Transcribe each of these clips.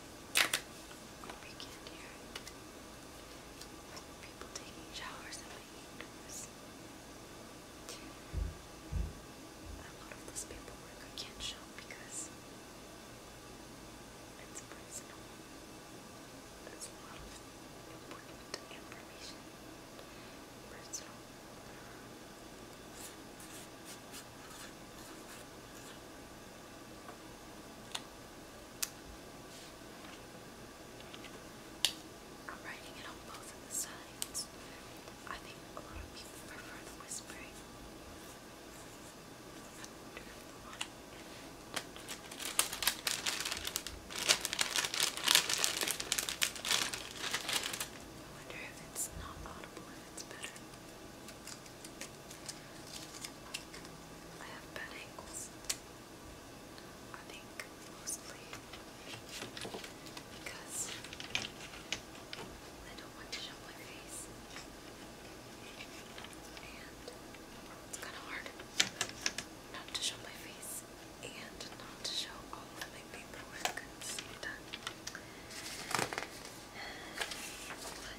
We can't hear People taking showers in my indoors. A lot of this paperwork I can't show because it's personal. It's a lot important information. Personal. I'm writing it on both sides. I think a lot of people prefer whispering. I wonder if it's not audible, if it's better. I have bad ankles. I think mostly because I don't want to show my face. And it's kind of hard not to show my face and not to show all of my paperwork at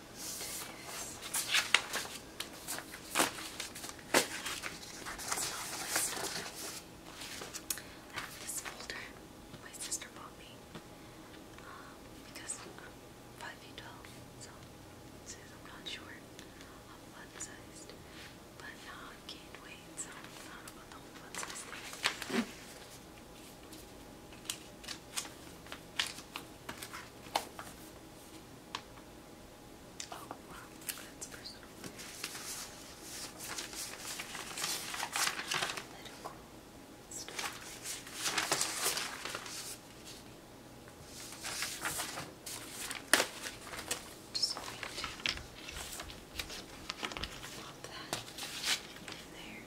Just do this. That's not my stuff. I have this folder my sister bought me um, because I'm 5 feet tall, so says I'm not sure I'm fun sized, but now I've gained weight, so I don't know about the whole fun size thing. Oh, wow, that's personal. Political stuff. Just going to pop that in there.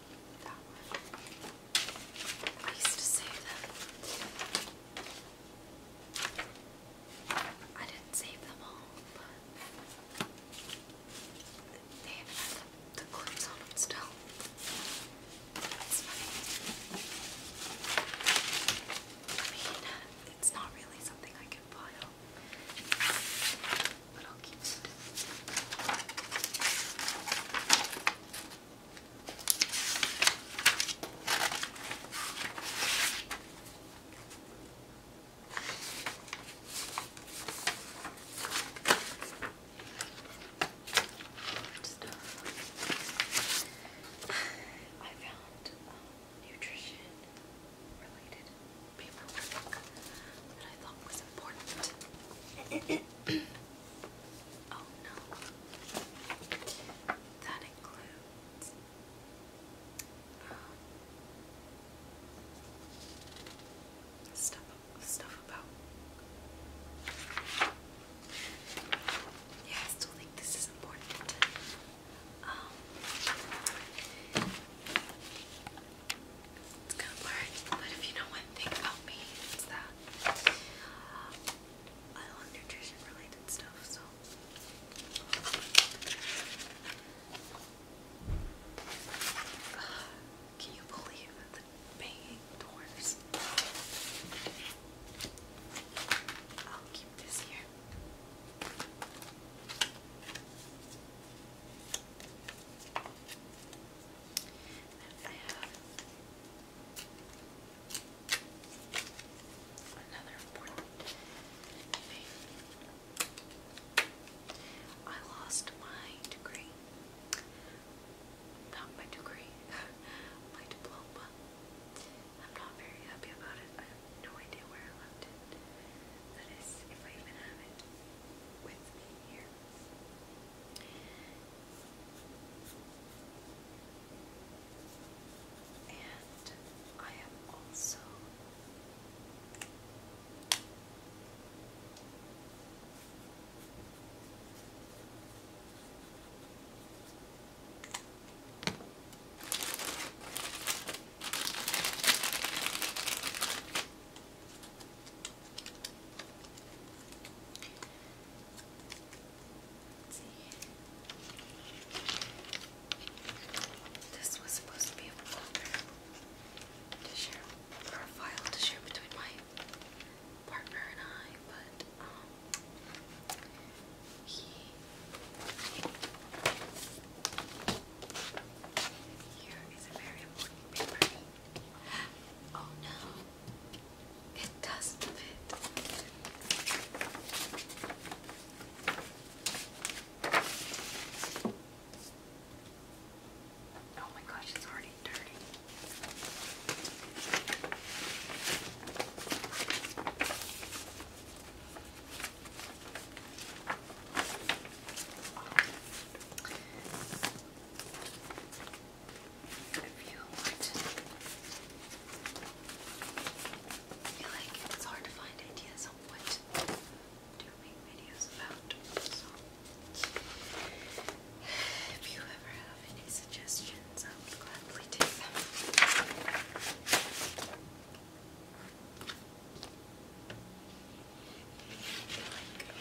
I used to save them. I didn't save them all, but they have the, clips on them still. I mean, it's not really something I can pile, little cute. Uh, I found nutrition related paperwork that I thought was important. Oh no. That includes um, stuff stuff about Yeah, I still think this is important. Um it's kind of blurry, but if you know one thing about me, it's that um, I love nutrition related stuff, so. can you believe the banging doors? I'll keep this here. I have lost my degree. Not my degree, my diploma. I'm not very happy about it. I have no idea where I left it. That is, if I even have it with me here. And I am also Let's This was supposed to be a file to share between my partner and I, but um, Here is a very important paper. Oh no, it doesn't fit. Oh my gosh, it's already dirty. If you feel like it's hard to find ideas on what to make videos about. if you ever have any suggestions, I would gladly take them.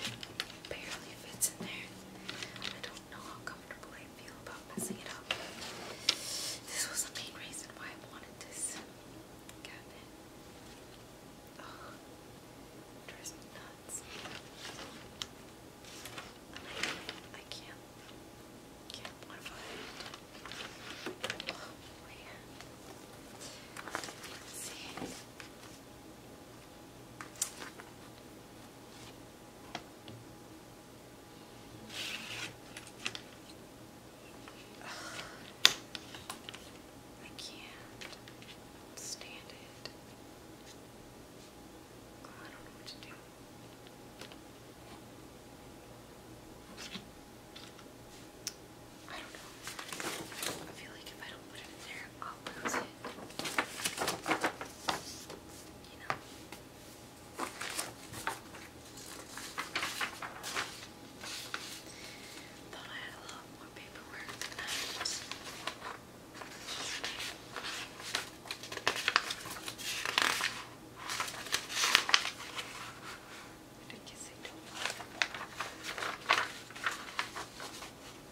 It barely fits in there. I don't know how comfortable I feel about messing it up. This was the main reason why I wanted this cabinet. it drives me nuts. I can't, I can't stand it. I don't know what to do. I don't know. I feel like if I don't put it in there, I'll lose it. You know? Thought I had a lot more paperwork than I was. I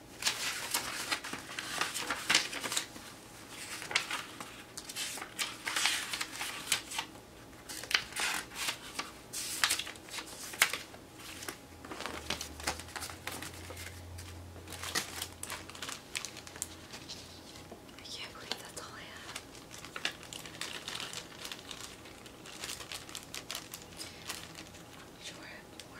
I can't believe that's all I have. sure more.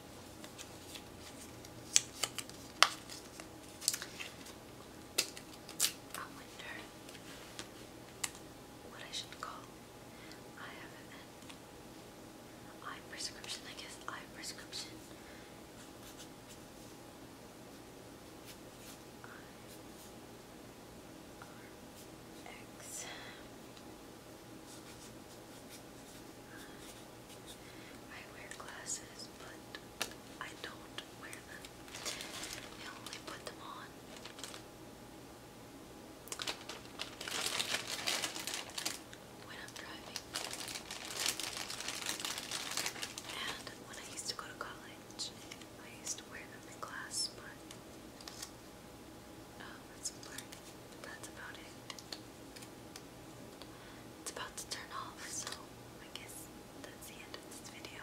I wonder what I should call. I have an eye prescription, I guess eye prescription. I R X. I wear glasses, but I don't wear them. I only put them on. When I'm driving. And when I used to go to college, I used to wear them in class, but oh, that's about it. It's about to turn off, so I guess that's the end of this video.